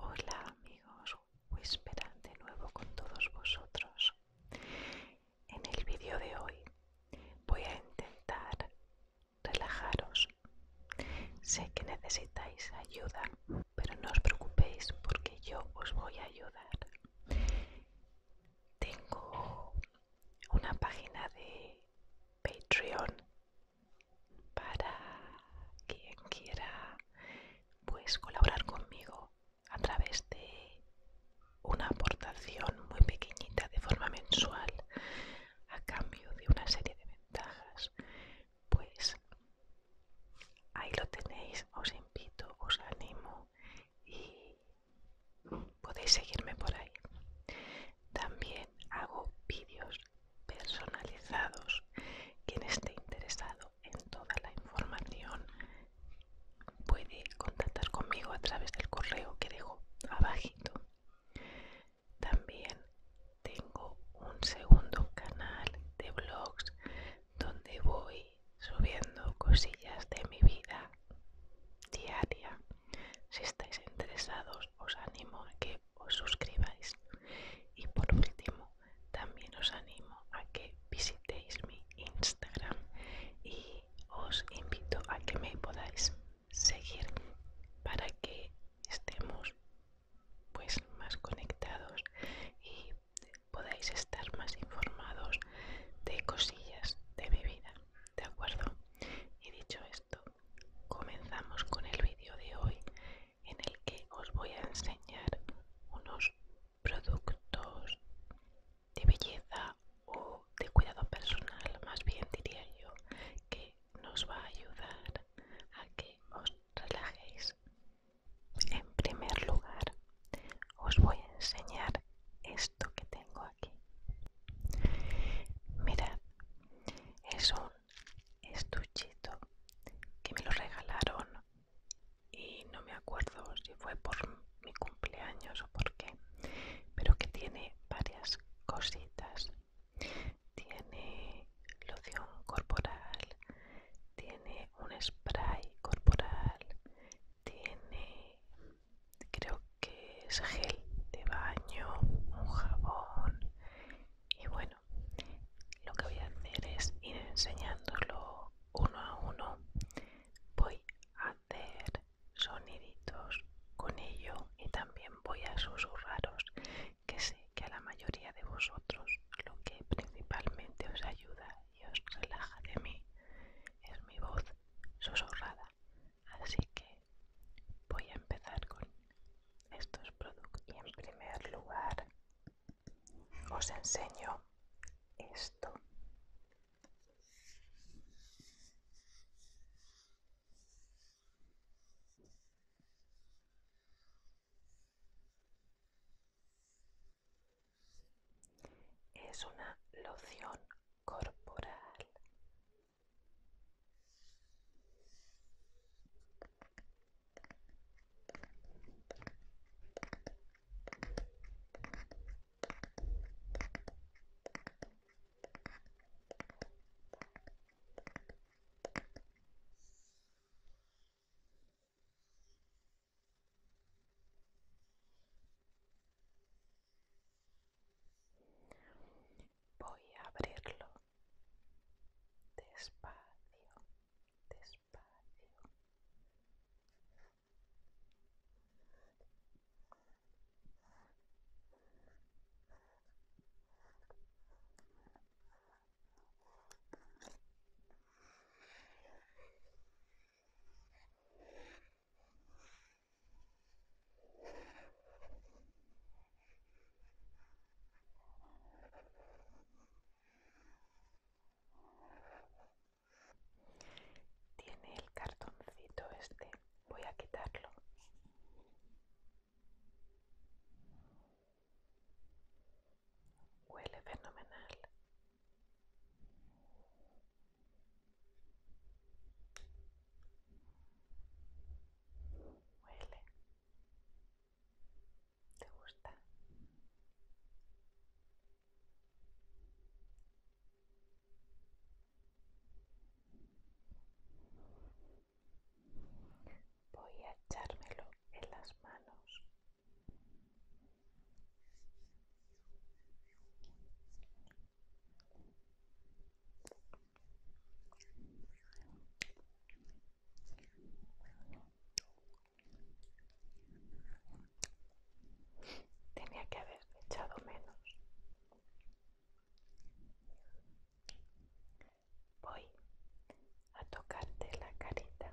Hola amigos, esperar de nuevo con todos vosotros. En el vídeo de hoy voy a intentar relajaros. Sé que necesitáis ayuda pero no os preocupéis porque yo os voy a ayudar. Tengo una página de Patreon para quien quiera pues, colaborar conmigo a través de una aportación muy pequeñita de forma mensual a cambio de una serie de ventajas pues ahí lo tenéis, os invito, os animo y podéis seguirme por ahí. También hago vídeos personalizados. Quien esté interesado en toda la información puede contactar conmigo a través del correo que dejo abajito. También tengo un segundo canal de vlogs donde voy subiendo cosillas de mi vida diaria. Si estáis interesados os animo a que os suscribáis. Y por último, también os animo a que visitéis mi Instagram y os invito a que me podáis seguir para que estemos pues más conectados y podáis estar más informados de cosillas de mi vida, ¿de acuerdo? Y dicho esto, comenzamos con el vídeo de hoy en el que os voy a enseñar unos productos de belleza o de cuidado personal, más bien diría yo, que nos va a ayudar a que os relajéis. En primer lugar, os voy a enseñar esto que tengo aquí. Mirad, es un estuchito que me lo regalaron y no me acuerdo si fue por mi cumpleaños o por qué, pero que tiene varias cositas tiene loción corporal, tiene un spray corporal, tiene creo que es gel de baño, un jabón y bueno, lo que voy a hacer es ir enseñándolo uno a uno. Voy a hacer soniditos con ello y también voy a susurraros que sé que a la mayoría de vosotros lo que principalmente os ayuda y os relaja de mí es mi voz susurrada. Así que voy a empezar con estos productos. Y en primer lugar os enseño esto. Es una loción corporal. Voy a abrirlo despacio, despacio. Tiene el cartoncito este, voy a quitarlo. Huele fenomenal. Huele. ¿Te gusta? Voy a echármelo en las manos. Tenía que haber echado menos voy a tocarte la carita.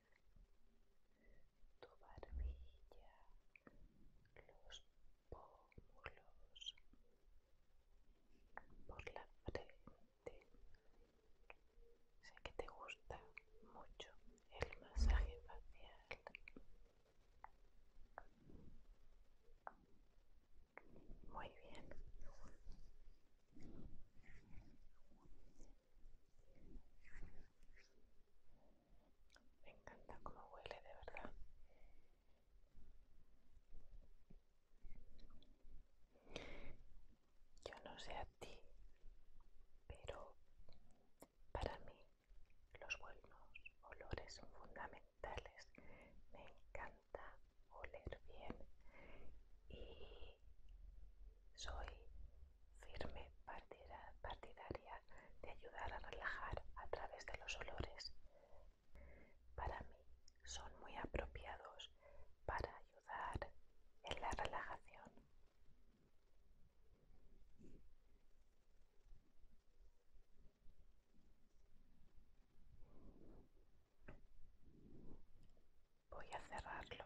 tu barbilla, los pómulos, por la frente. Sé que te gusta mucho el masaje facial. Muy bien. Me encanta cómo huele, de verdad. Yo no sé a ti, pero para mí los buenos olores son fundamentales. Me encanta oler bien y soy firme partida, partidaria de ayudar a relajar a través de los olores. Para mí son muy apropiados para ayudar en la relajación. Voy a cerrarlo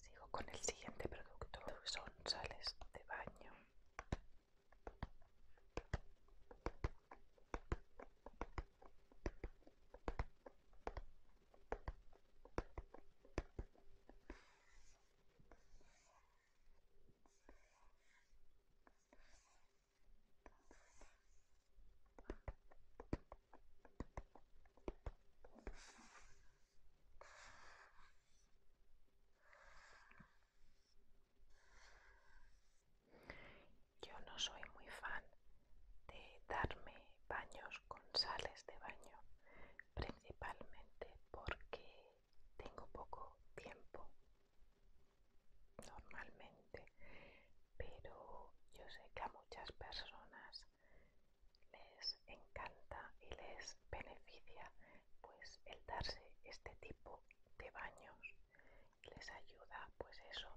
Sigo con el siguiente producto, son sales de baño. Yo no soy muy fan de darme baños con sales de baño, principalmente porque tengo poco tiempo normalmente, pero yo sé que a muchas personas les encanta y les beneficia pues el darse este tipo de baños les ayuda pues eso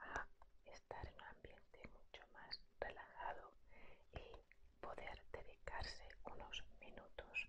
a estar en un ambiente mucho más relajado y poder dedicarse unos minutos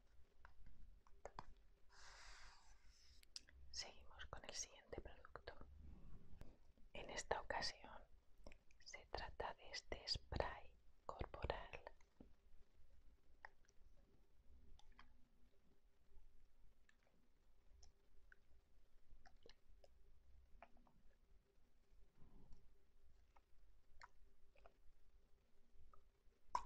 Seguimos con el siguiente producto. En esta ocasión se trata de este spray corporal. Huele genial.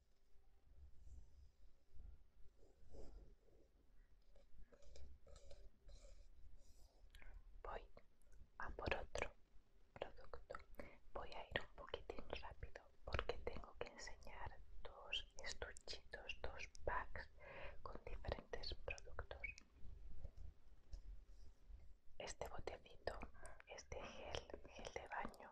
Voy a por otro producto. Voy a ir un poquitín rápido porque tengo que enseñar dos estuchitos, dos packs con diferentes productos. Este botecito es de gel, gel de baño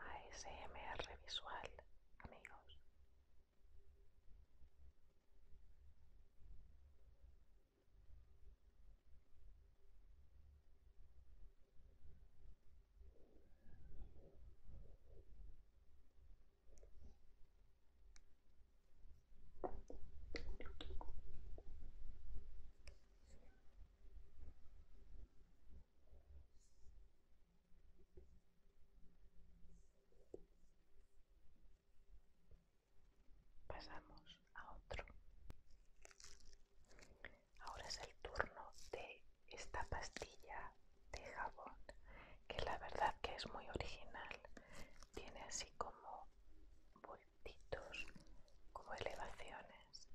ASMR visual, amigos. Pasamos a otro. Ahora es el turno de esta pastilla de jabón, que la verdad que es muy original. Tiene así como vueltitos, como elevaciones.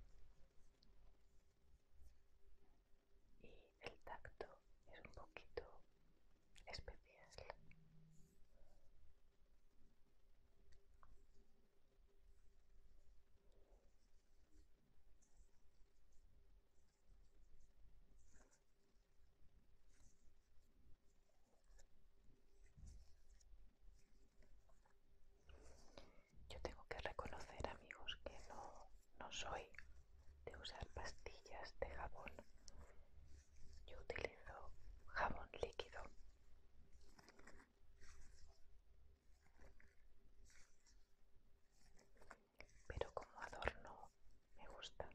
Y el tacto es un poquito especial. Yo tengo que reconocer, amigos, que no, soy de usar pastillas de jabón. Yo utilizo jabón líquido pero como adorno me gusta.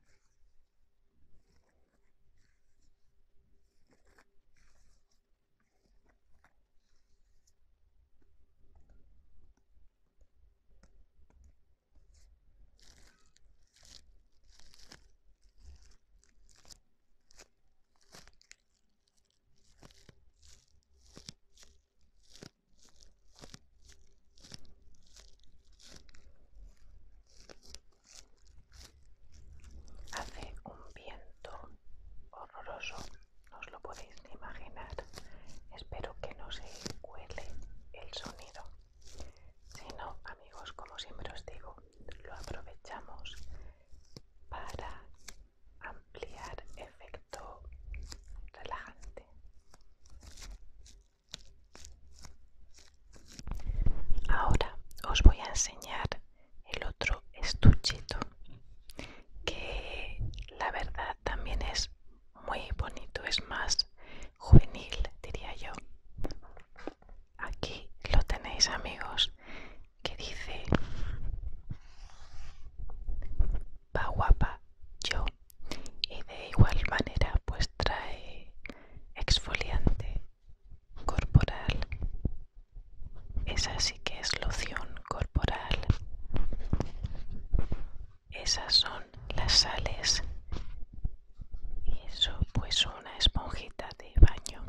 Hace un viento horroroso, no os lo podéis ni imaginar. Espero que no se huele el sonido. Si no, amigos, como siempre os digo, lo aprovechamos para ampliar efecto relajante. Ahora os voy a enseñar el otro estuchito que la verdad también es muy bonito, es más juvenil diría yo. Aquí lo tenéis amigos, que dice, va guapa yo y de igual manera pues trae exfoliante corporal. Esa sí que es loción corporal. Esas son las sales. Y eso pues una esponjita de baño.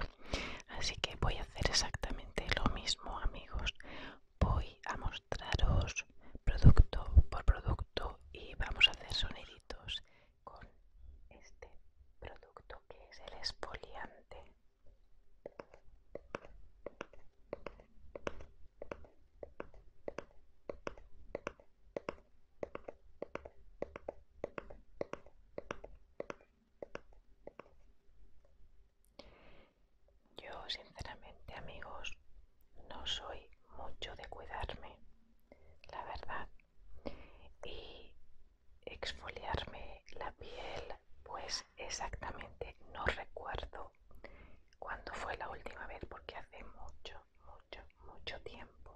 Así que voy a hacer exactamente lo mismo amigos voy a mostraros producto por producto y vamos a hacer soniditos con este producto que es el esfoliante. Yo, sinceramente, amigos, no soy mucho de cuidarme, la verdad. Y exfoliarme la piel, pues exactamente no recuerdo cuándo fue la última vez, porque hace mucho, mucho, mucho tiempo.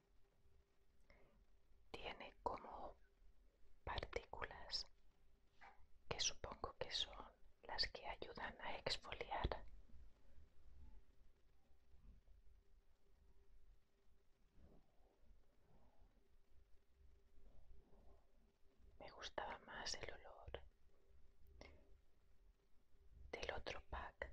tiene como partículas que supongo que son las que ayudan a exfoliar. Me gustaba más el olor del otro pack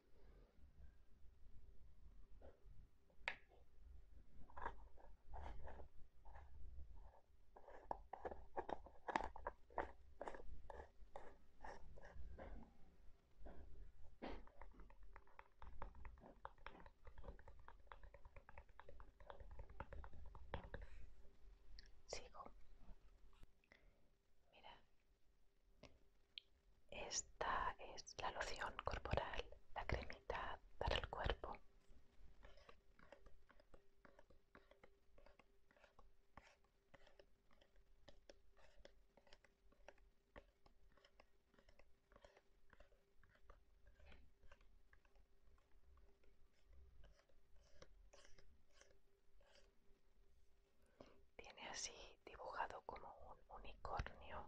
Sigo. Mira, esta es la loción corporal, la cremita para el cuerpo. Tiene así dibujado como un unicornio.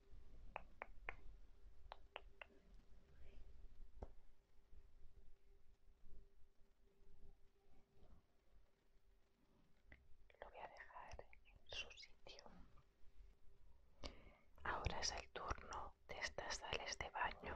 Lo voy a dejar en su sitio. Ahora es el turno de estas sales de baño.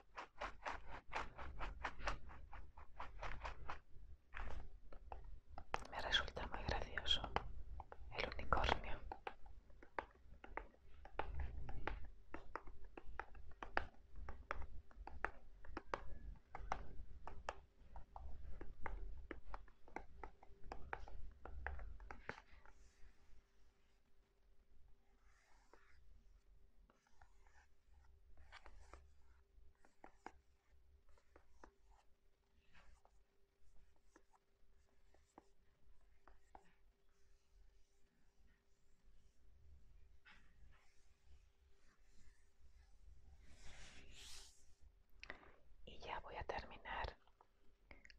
Me resulta muy gracioso el unicornio. Y ya voy a terminar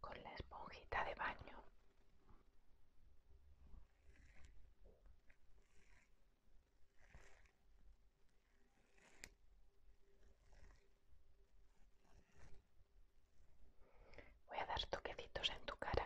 con la esponjita de baño. Voy a dar toquecitos en tu cara.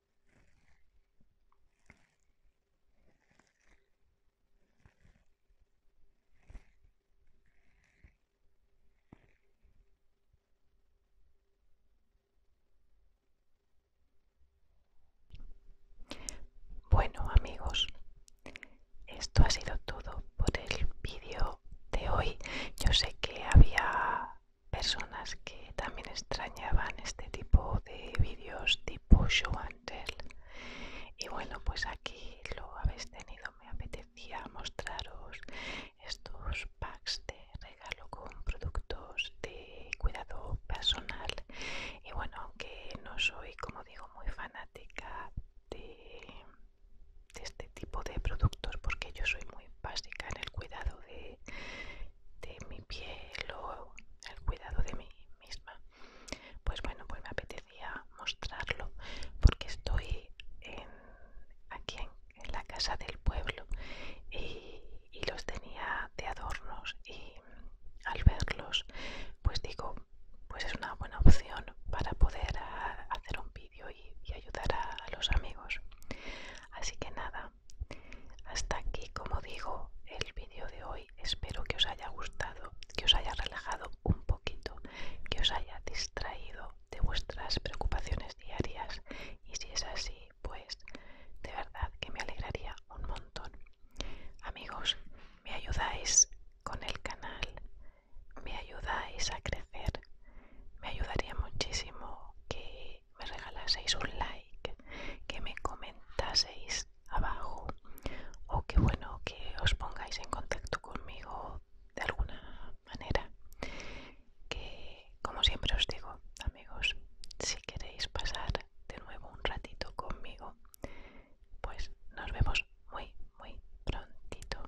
Bueno amigos, esto ha sido todo por el vídeo de hoy. Yo sé que había personas que también extrañaban este tipo de vídeos tipo show and tell y bueno pues aquí lo habéis tenido me apetecía mostraros estos packs de regalo con productos de cuidado personal y bueno aunque no soy como digo muy fanática de, de este tipo de productos porque yo soy muy básica en el cuidado de de mi piel o el cuidado de mí misma pues bueno pues me apetecía mostrarlo porque estoy aquí en, la casa del pueblo y, los tenía de adornos y al verlos pues digo pues es una buena opción para poder ah, hacer un vídeo y, ayudar a los amigos así que nada hasta aquí, como digo, el vídeo de hoy. Espero que os haya gustado, que os haya relajado un poquito, que os haya distraído de vuestras preocupaciones diarias. Y si es así, pues de verdad que me alegraría un montón. Amigos, me ayudáis con el canal, me ayudáis a crecer. Me ayudaría muchísimo que me regalaseis un like, que me comentaseis abajo o que bueno, que os pongáis en contacto conmigo de alguna manera. Que como siempre os digo, amigos, si queréis pasar de nuevo un ratito conmigo, pues nos vemos muy, muy prontito.